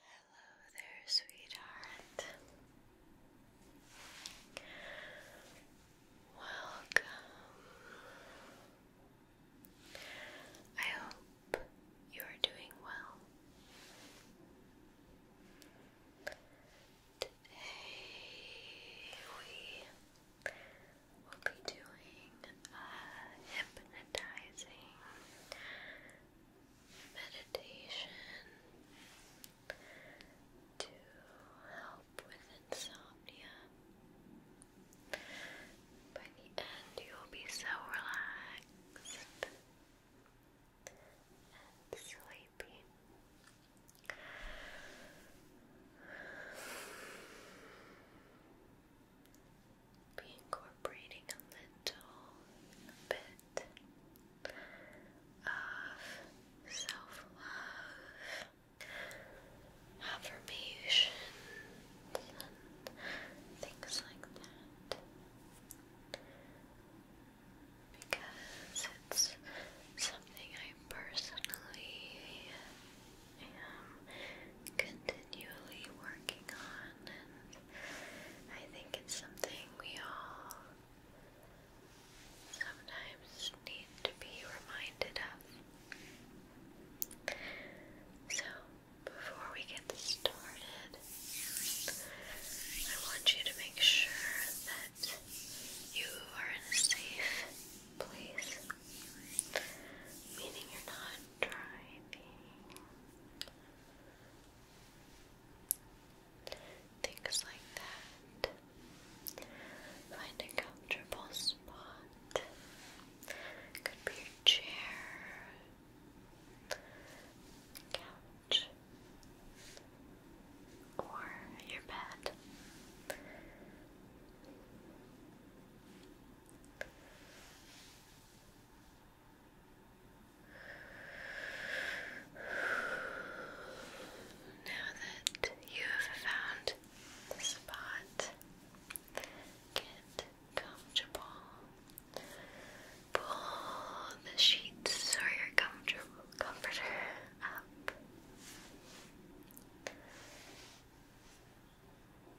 Hello there, sweetheart. Welcome. I hope you are doing well. Today we will be doing a uh, hypnotizing meditation to help with insomnia. By you'll be so relaxed and sleepy be incorporating a little bit of self love, affirmations, and things like that. Because it's something I personally continually working on, and I think it's something we all sometimes need to be reminded of. So, before we get started, I want you to make sure that you are in a safe place, meaning you're not driving Things like that. Find a comfortable spot. Could be your chair, couch, or your bed. Now that you have found the spot, get comfortable. Pull the sheets or your comfortable comforter up.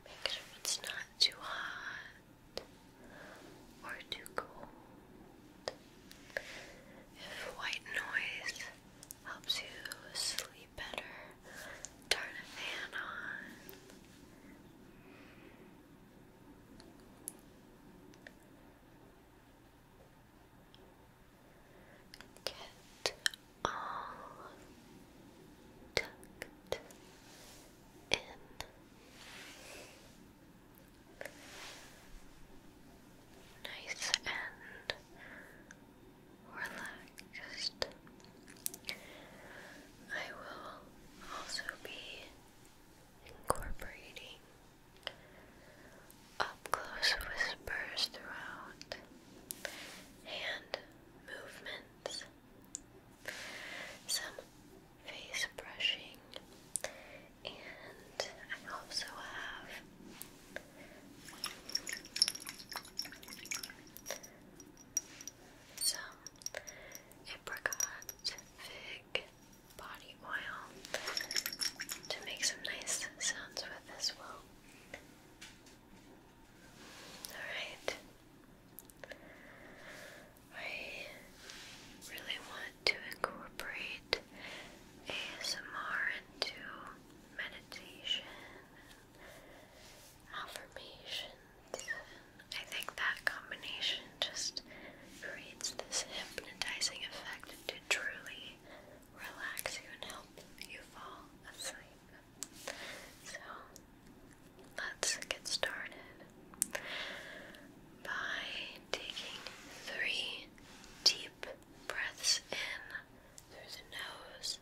Make sure it's not too hot or too cold. If white noise helps you sleep better, turn a fan on. Get all tucked in. Nice and relaxed. I will also be incorporating up close whispers throughout hand movements some face brushing, and I also have some apricot fig body oil to make some nice sounds with as well. Alright. I really want to incorporate ASMR into meditation affirmations. I think that combination just creates this hypnotizing effect to truly relax you and help you fall asleep. So let's get started by taking three deep breaths in through the nose,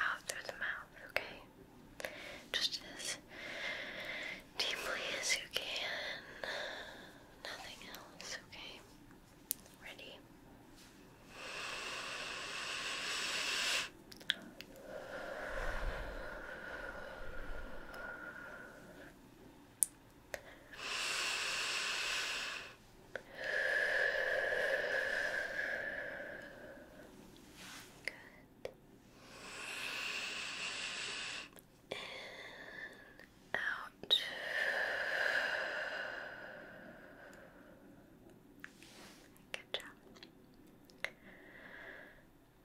out through the mouth, okay? Just as deeply as you can, nothing else, okay? Ready? Good. In, out. Good. Good job.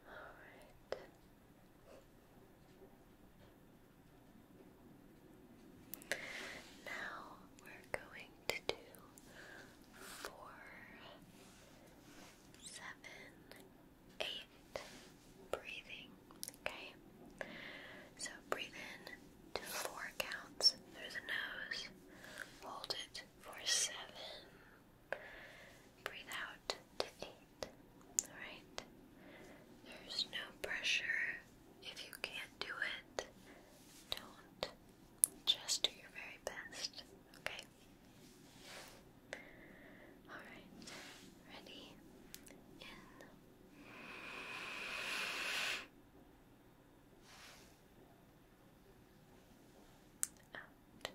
Alright. Now we're going to do four, seven, eight breathing. Okay? So breathe in to four counts through the nose. Hold it for seven. Breathe out to eight. Alright? There's no pressure. If you can't do it, don't. Just do your very best. Okay? Alright. Ready? In. Out.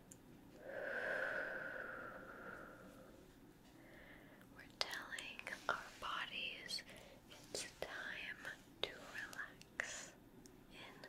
We're telling our bodies it's time to relax. In.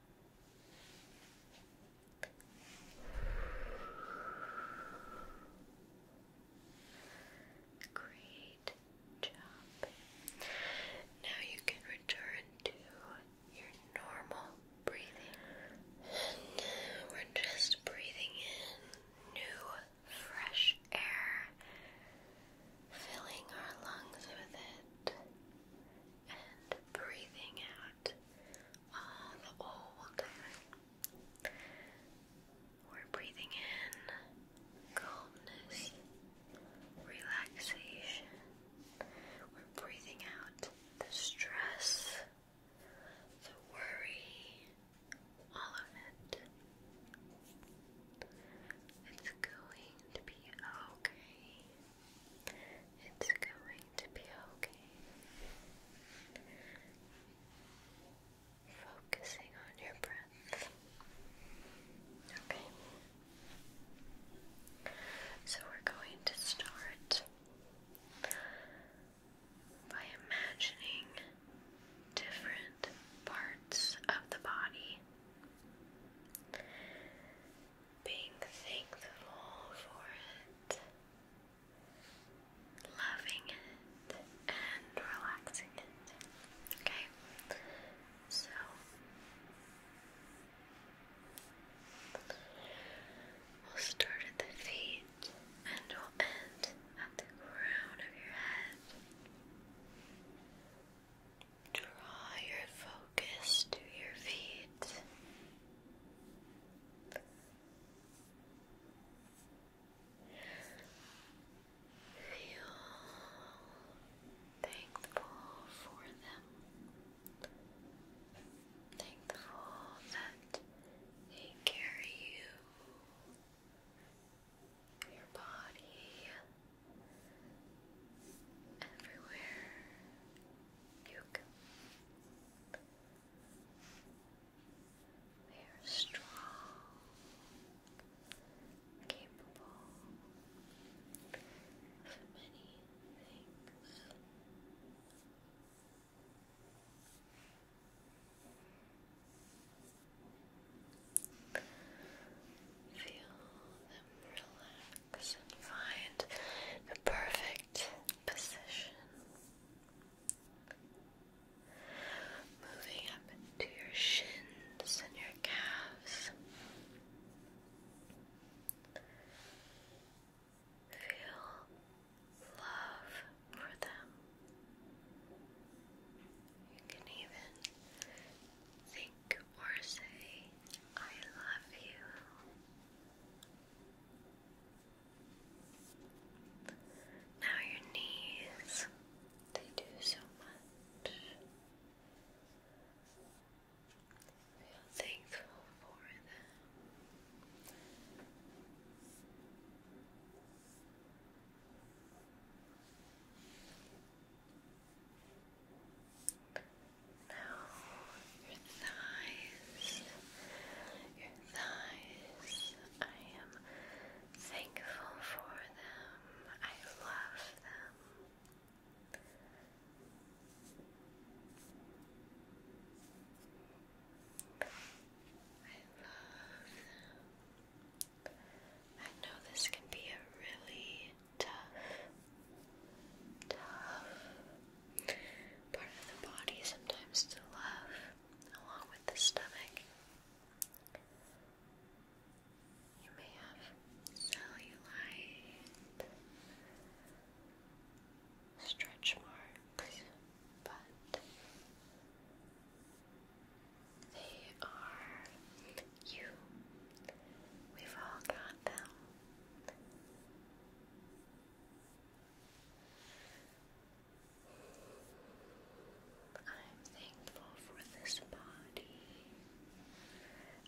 Great job. Now you can return to your normal breathing. And we're just breathing in new, fresh air, filling our lungs with it, and breathing out all the old. We're breathing in calmness, relaxation. We're breathing out the stress, the worry, all of it. It's going to be okay. It's going to be okay. Focusing on your breath. Okay. So we're going to start by imagining different parts of the body being thankful for it, loving it, and relaxing it. Okay? So, we'll start at the feet and we'll end at the crown of your head. Draw your focus to your feet. Feel thankful for them. Thankful that they carry you, your body, everywhere. Nuke. They are strong, capable of many things. Feel them relax find the perfect position. Moving up into your shins and your calves. Feel love for them. You can even think or say, I love you. Now, your knees, they do so much. Feel thankful for them. Now your thighs, your thighs. I am thankful for them. I love them. I love them. I know this can be a really tough, tough part of the body sometimes to love along with the stomach. You may have cellulite, stretch marks, but they are you We've all got them. I'm thankful for this body.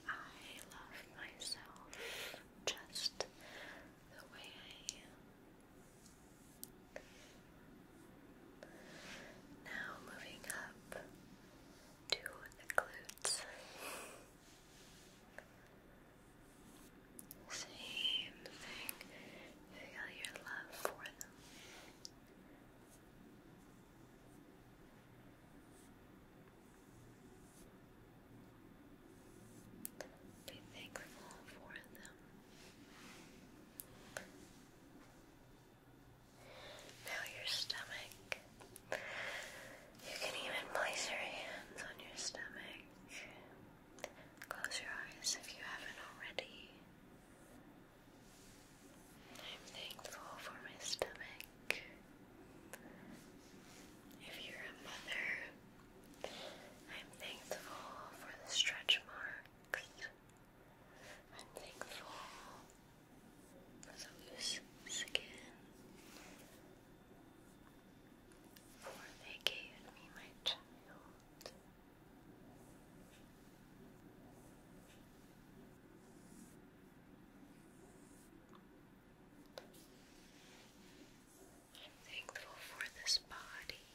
I love myself just the way I am. Now, moving up to the glutes. Same thing. Feel your love for them. Be thankful for them. Now your stomach. You can even place your hands on your stomach. Close your eyes if you haven't already. I'm thankful for my stomach. If you're a mother, I'm thankful for the stretch marks I'm thankful for the skin, for they gave me my child. I'm thankful for this body.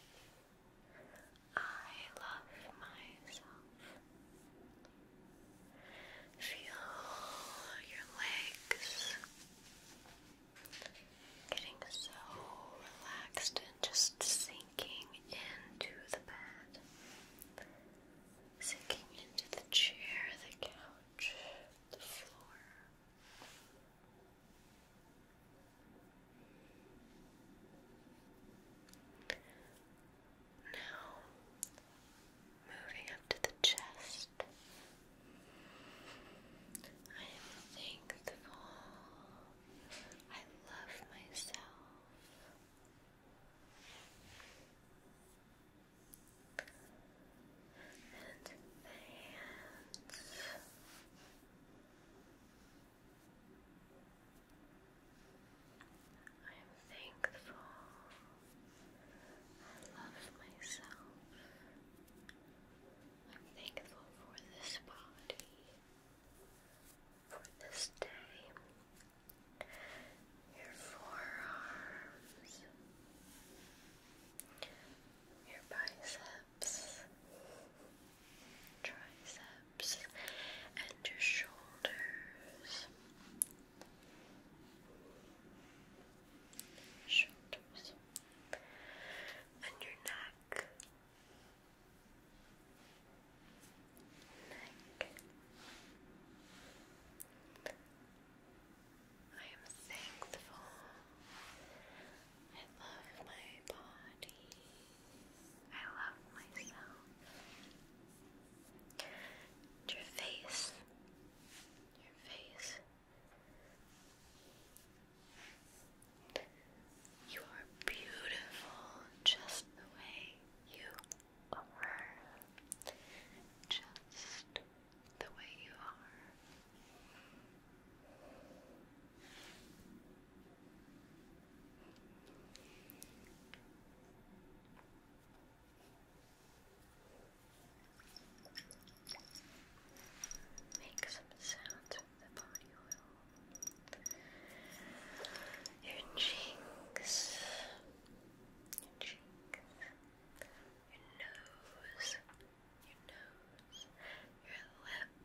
I love myself. Feel your legs getting so relaxed and just sinking into the bed, sinking into the chair, the couch, the floor. Now, moving up to the chest, I am thankful. I love myself. And the hands. I am thankful. I love myself. I'm thankful for this body, for this day, your forearms, your biceps, triceps, and your shoulders. Shoulders and your neck, neck. I am thankful. I love my body. I love myself. your face. Your face. You are beautiful just the way you are. Just the way you are. Make some sounds with the body oil. Your cheeks, your cheeks, your nose, your nose, your lips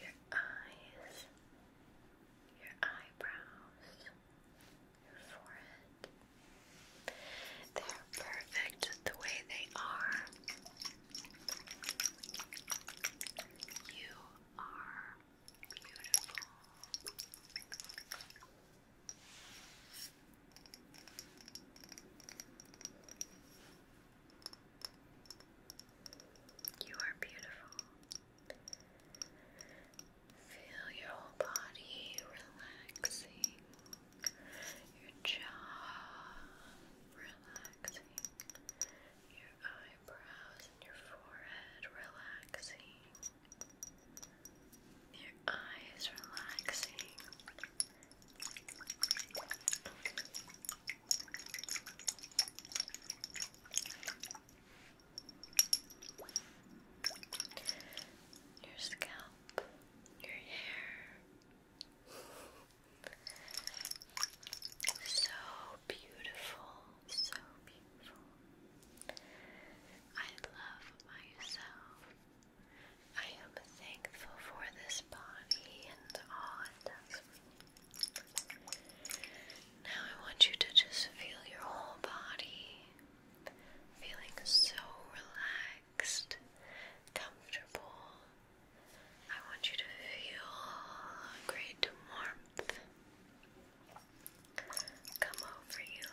your eyes, your eyebrows, your forehead. They're perfect the way they are. You are beautiful. You are beautiful. Feel your whole body relaxing, your jaw relaxing, your eyebrows and your forehead relaxing, your eyes relaxing. Your scalp, your hair. so beautiful, so beautiful. I love myself. I am thankful for this body and all it does. Now I want you to just feel your whole body feeling so relaxed, comfortable. I want you to feel great warmth come over you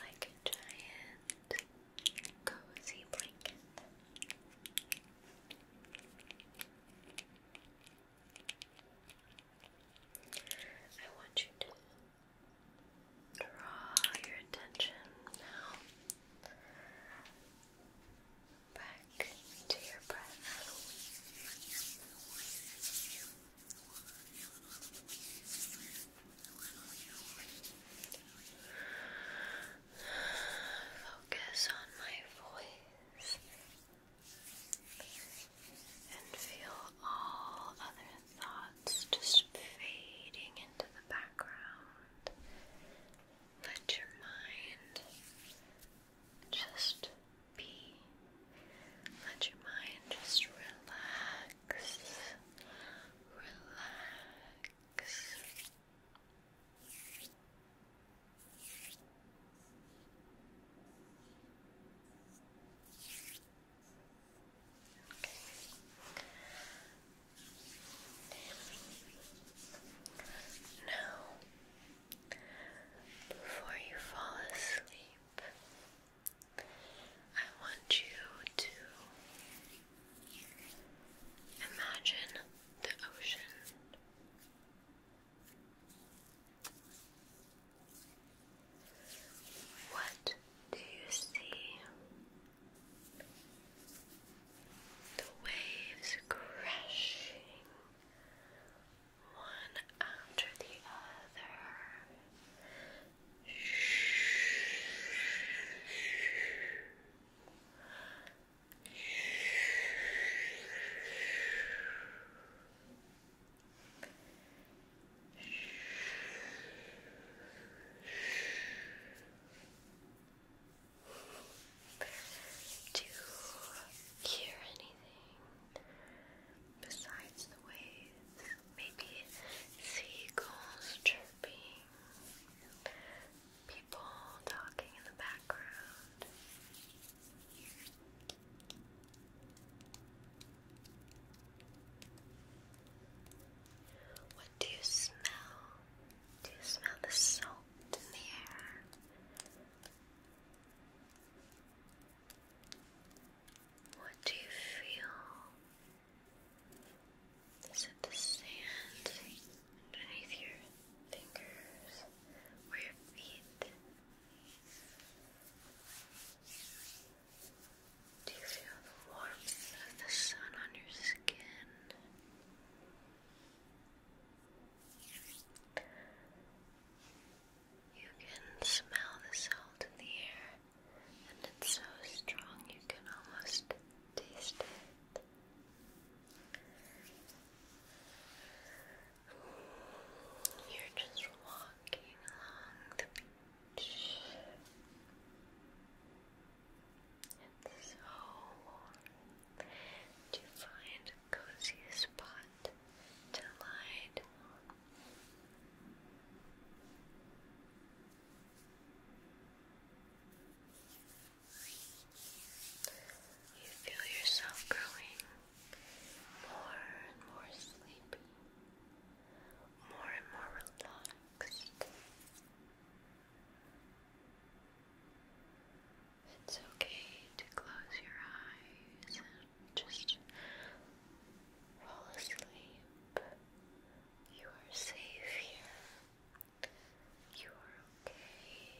like a giant cozy blanket. I want you to draw your attention now back to your breath. Focus on my voice and feel all other thoughts just fading into the background. Let your mind just be. Let your mind just relax relax. Now, before you fall asleep, I want you to imagine the ocean. What do you see? The waves crashing one after the other, do you hear anything besides the waves? maybe seagulls chirping, people talking in the background. What do you smell? Do you smell the salt in the air? What do you feel? Is it the sand underneath your fingers or your feet? Do you feel the warmth of the sun on your skin? You can smell the salt in the air, and it's so strong you can almost taste it. You're just walking along the beach. It's so warm. Do you find a cozy spot to lie down? You feel yourself growing more and more sleepy, more and more relaxed. It's okay to close your eyes just fall asleep. You are safe here. You are okay.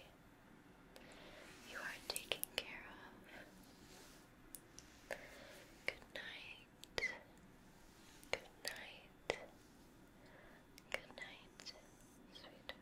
You are taken care of. Good night. Good night. Good night, sweetheart.